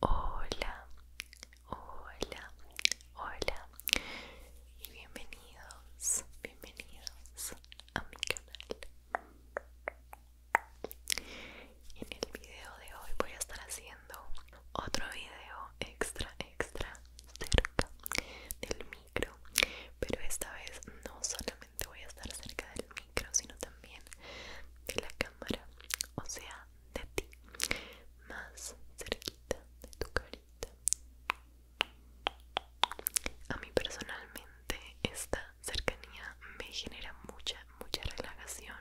Hola, hola, hola y bienvenidos, bienvenidos a mi canal. En el video de hoy voy a estar haciendo otro video extra, extra cerca del micro, pero esta vez no solamente voy a estar cerca del micro, sino también de la cámara, o sea, de ti, más cerquita de tu carita. A mí personalmente esta cercanía me genera mucha, mucha relajación,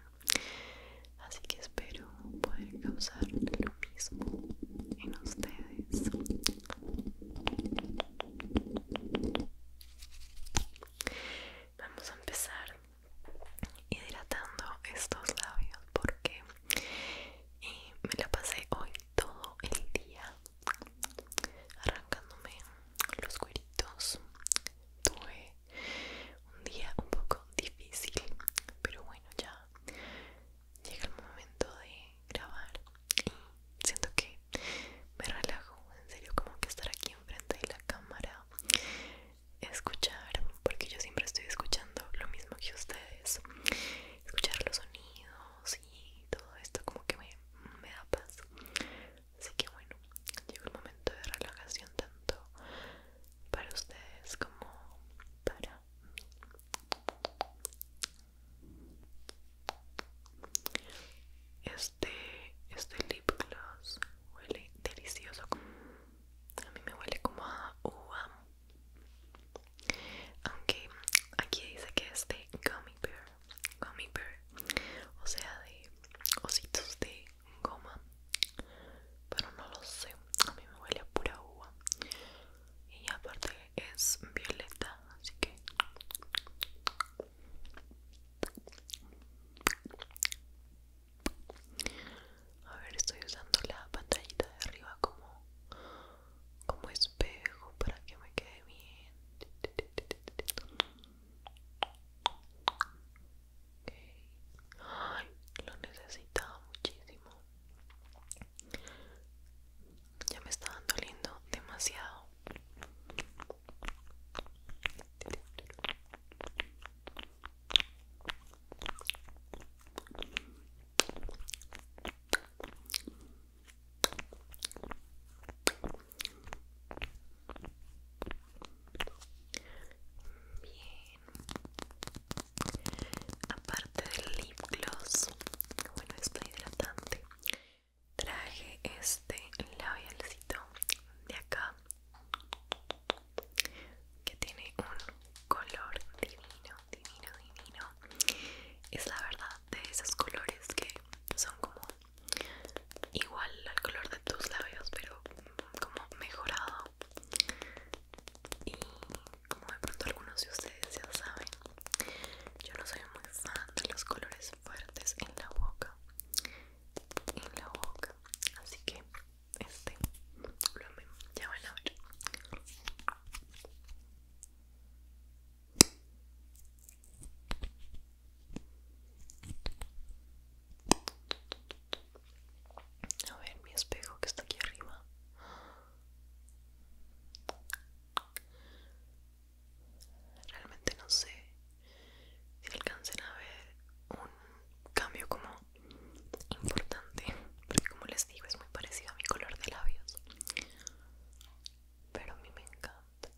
así que espero poder causar lo mismo en ustedes. Vamos a empezar hidratando estos labios porque eh, me la pasé hoy todo el día arrancándome los cueritos. Tuve un día un poco difícil, pero bueno, ya llega el momento de grabar y siento que me relajo, en serio, como que estar aquí enfrente de la cámara, escuchar, porque yo siempre estoy escuchando lo mismo que ustedes, escuchar los sonidos y todo esto como que me, me da paz. Así que bueno, llegó el momento de relajación tanto para ustedes como para mí. Este, este lip gloss huele delicioso. A mí me huele como a uva. Aunque aquí dice que es de gummy bear. Gummy bear. O sea, de ositos de goma. Pero no lo sé. A mí me huele a pura uva. Y aparte es violeta, así que a ver, estoy usando la pantallita de arriba como como espejo para que me quede bien. lo necesitaba muchísimo. Ya me estaba doliendo demasiado. Bien. Aparte del lip gloss, bueno, es hidratante traje este labialcito de acá que tiene un color divino, divino, divino. Es la verdad de esos colores que son como igual al color de tus labios, pero como mejorado. Y como de pronto algunos de ustedes ya saben, yo no soy muy fan de los colores fuertes en la boca. En la boca. Así que este lo Ya van a ver. A ver mi espejo que está aquí arriba. Realmente no sé si alcancen a ver un cambio como importante, porque como les digo es muy parecido a mi color de labios, pero a mí me encanta.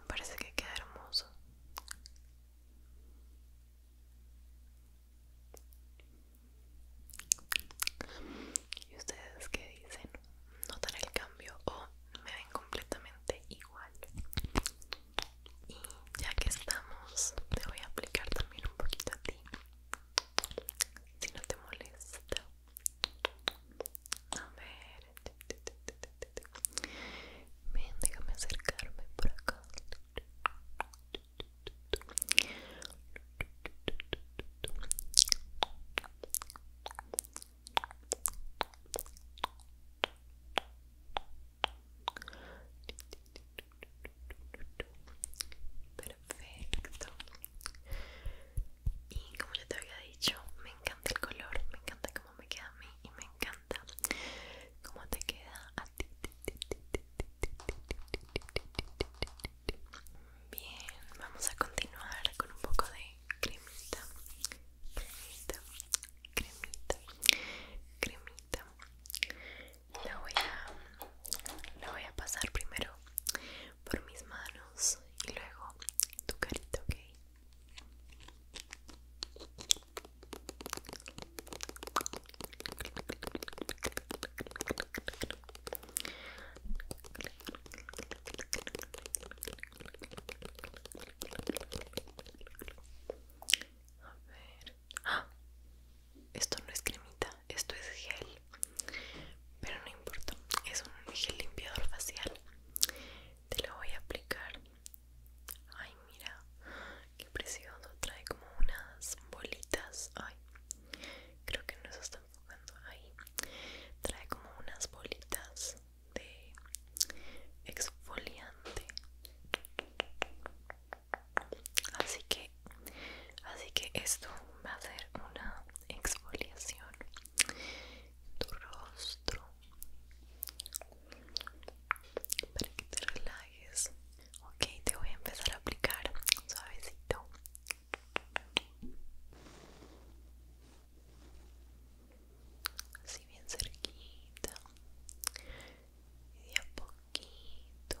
Me parece que queda hermoso. ¿Y ustedes qué dicen? ¿Notan el cambio o me ven completamente igual? Y ya que estamos, te voy a aplicar también un poquito a ti. Si no te molesta. A ver. Ven, déjame acercarme por acá. Perfecto. Y como ya te había dicho, me encanta el color, me encanta cómo me queda a mí y me encanta cómo te queda a ti. Bien, vamos a continuar con un poco de cremita, cremita, cremita, cremita. La voy a, la voy a pasar primero por mis manos y luego tu carita, ¿ok? A ver. ¡Ah! Esto no es cremita, esto es gel. Pero no importa, es un gel limpiador facial. Te lo voy a aplicar Ay, mira, qué precioso. Trae como unas bolitas. Ay, creo que no se está enfocando ahí. Trae como unas bolitas de exfoliante. Así que, así que esto va a ser una exfoliación. Tu rostro para que te relajes Okay, te voy a empezar a aplicar suavecito. Así bien cerquita. Y de a poquito.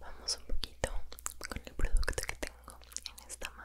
Vamos un poquito con el producto que tengo en esta mano.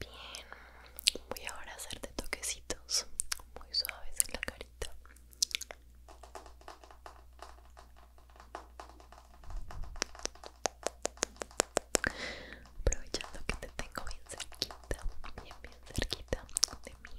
Bien, voy ahora a hacerte toquecitos muy suaves en la carita. Aprovechando que te tengo bien cerquita, bien, bien cerquita de mí.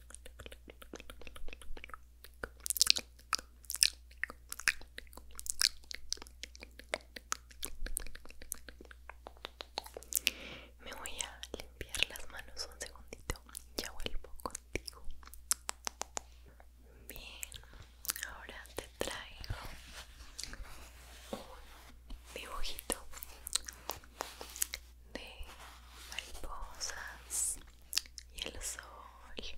Me voy a limpiar las manos un segundito, y ya vuelvo contigo. Bien, ahora te traigo un dibujito de mariposas y el sol y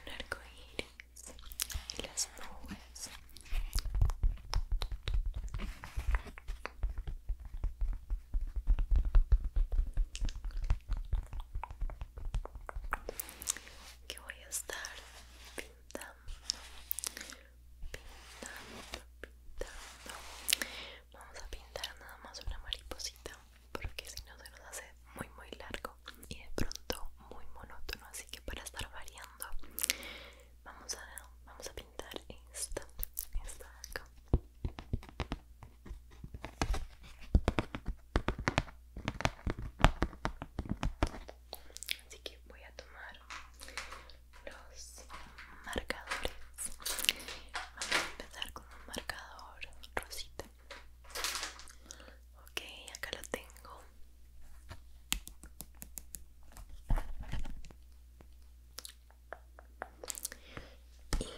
un arco iris y las nubes que voy a estar pintando pintando pintando Vamos a pintar nada más una mariposita porque si no se nos hace muy muy largo y de pronto muy monótono. Así que para estar variando vamos a, pintar esta, esta Así que voy a tomar los marcadores. Vamos a empezar un marcador rosita ok acá lo tengo y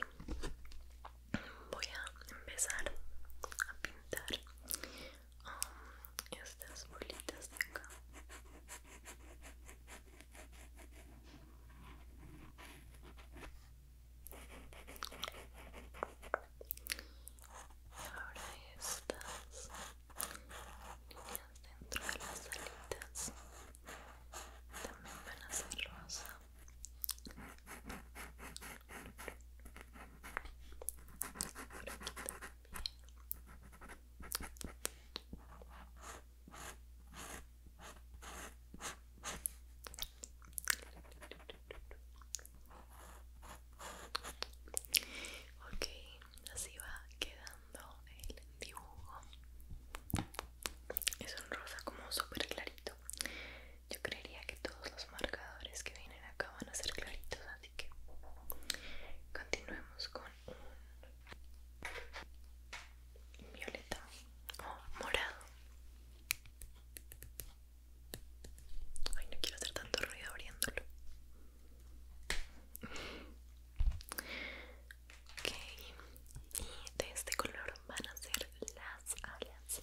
voy a empezar a pintar um, estas bolitas de acá Ahora estas líneas dentro de las alitas también van a ser rosa. Ok, así va quedando el dibujo. Es un rosa como súper clarito. Yo creería que todos los marcadores que vienen acá van a ser claritos, así que continuemos con un violeta o oh, morado. Ay, no quiero hacer tanto ruido abriéndolo. Ok, y de este color van a ser las alas.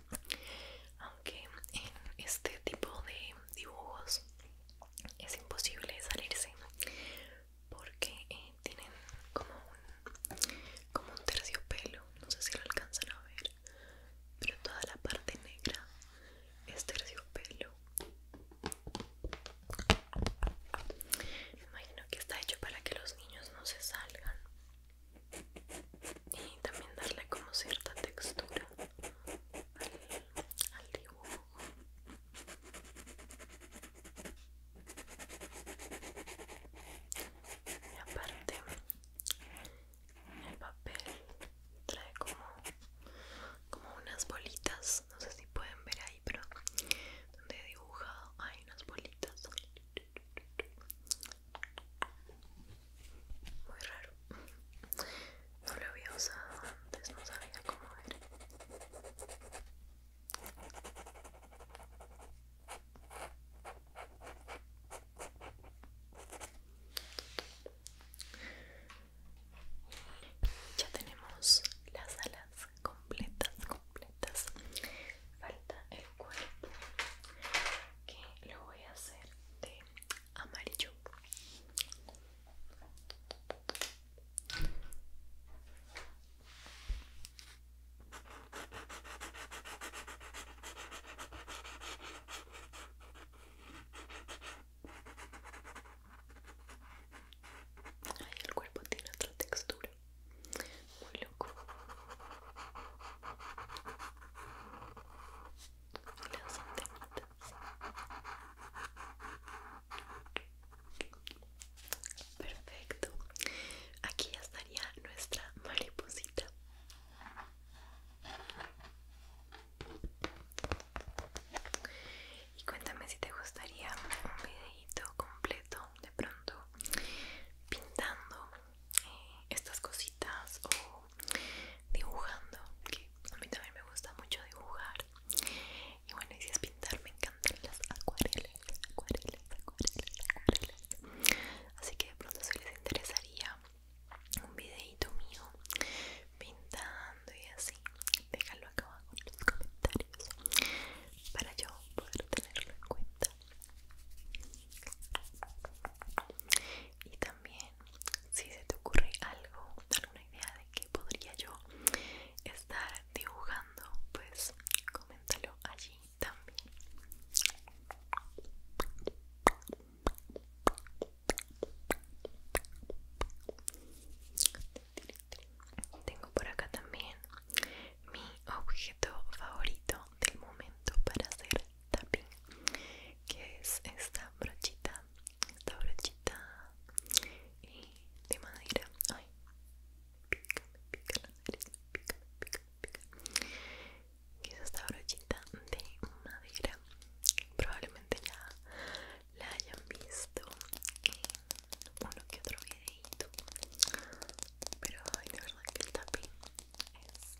aunque en este tipo de dibujos es imposible salirse porque eh, tienen como un, como un terciopelo, no sé si lo alcanzan a ver, pero toda la parte negra es terciopelo. Me imagino que está hecho para que los niños no se salgan y también darle como cierta textura al dibujo y aparte el papel trae como como unas bolitas no sé si pueden ver ahí pero donde he dibujado hay unas bolitas muy raro no lo había usado antes no sabía cómo era ya tenemos las alas completas, completas. Falta el cuerpo que lo voy a hacer de amarillo Ay, el cuerpo tiene otra textura muy loco las antenitas perfecto aquí ya estaría nuestra mariposita y cuéntame si te gustaría un videito completo de pronto pintando eh, estas cositas o dibujando, que a mí también me gusta mucho dibujar. Y bueno, y si es pintar, me encantan las acuarelas, acuarelas, acuarelas, acuarelas. Así que de pronto si les interesaría un videito mío pintando y así, déjalo acá abajo en los comentarios para yo poder tenerlo en cuenta y también si se te ocurre algo alguna idea de que podría yo estar dibujando pues coméntalo allí también tengo por acá también mi objeto favorito del momento para hacer tapping que es esta brochita esta brochita de madera ay pica pica la pica pica pica que es esta brochita de madera probablemente ya la hayan visto en uno que otro videito pero la verdad que el tapping es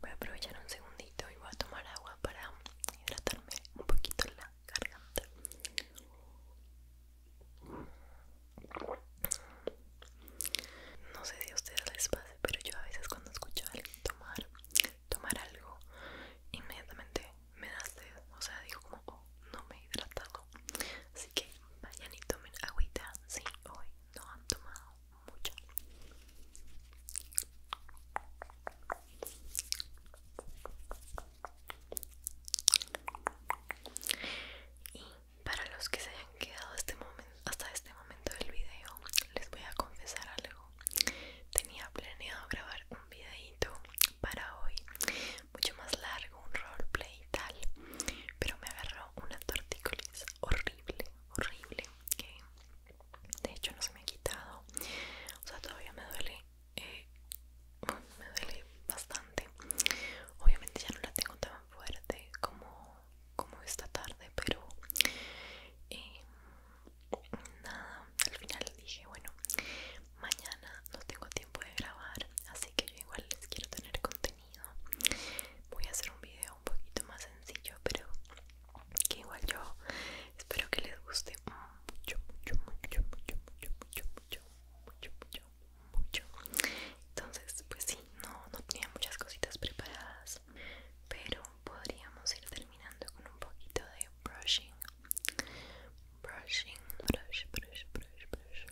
Voy a aprovechar un segundito y voy a tomar agua para hidratarme un poquito la garganta. No sé si a ustedes les pasa, pero yo a veces cuando escucho a alguien tomar, tomar algo, inmediatamente me da sed. O sea, digo como, oh, no me he hidratado. Así que vayan y tomen agüita si hoy no han tomado mucho. Y para los que se hayan quedado este hasta este momento del video, les voy a confesar algo. Tenía planeado grabar un videito para hoy, mucho más largo, un roleplay y tal, pero me agarró una tortícolis horrible, horrible, que de hecho no se me ha quitado. O sea, todavía me duele, eh, me duele bastante. Obviamente ya no la tengo tan fuerte como, como esta tarde, pero nada, al final dije, bueno, mañana no tengo tiempo de grabar, así que yo igual les quiero tener contenido. Voy a hacer un video un poquito más sencillo, pero que igual yo espero que les guste mucho, mucho, mucho, mucho, mucho, mucho, mucho, mucho mucho entonces pues sí no no tenía muchas cositas preparadas pero podríamos ir terminando con un poquito de brushing brushing brush brush brush brush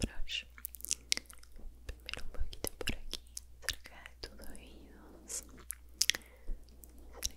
brush primero un poquito por aquí cerca de tus oídos cerquita, cerquita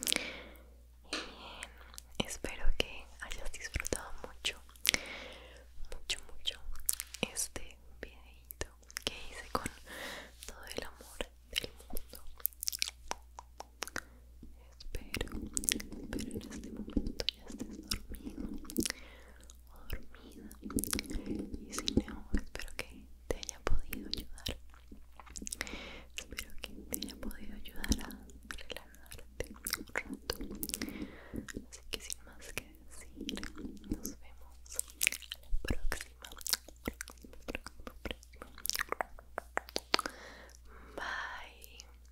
bien, espero que hayas disfrutado mucho, mucho, mucho este videito que hice con todo el amor del mundo. Espero, espero en este momento ya estés dormido o dormida y si no, espero que te haya podido ayudar espero que te haya podido ayudar a relajarte un rato así que sin más que decir nos vemos a la próxima. bye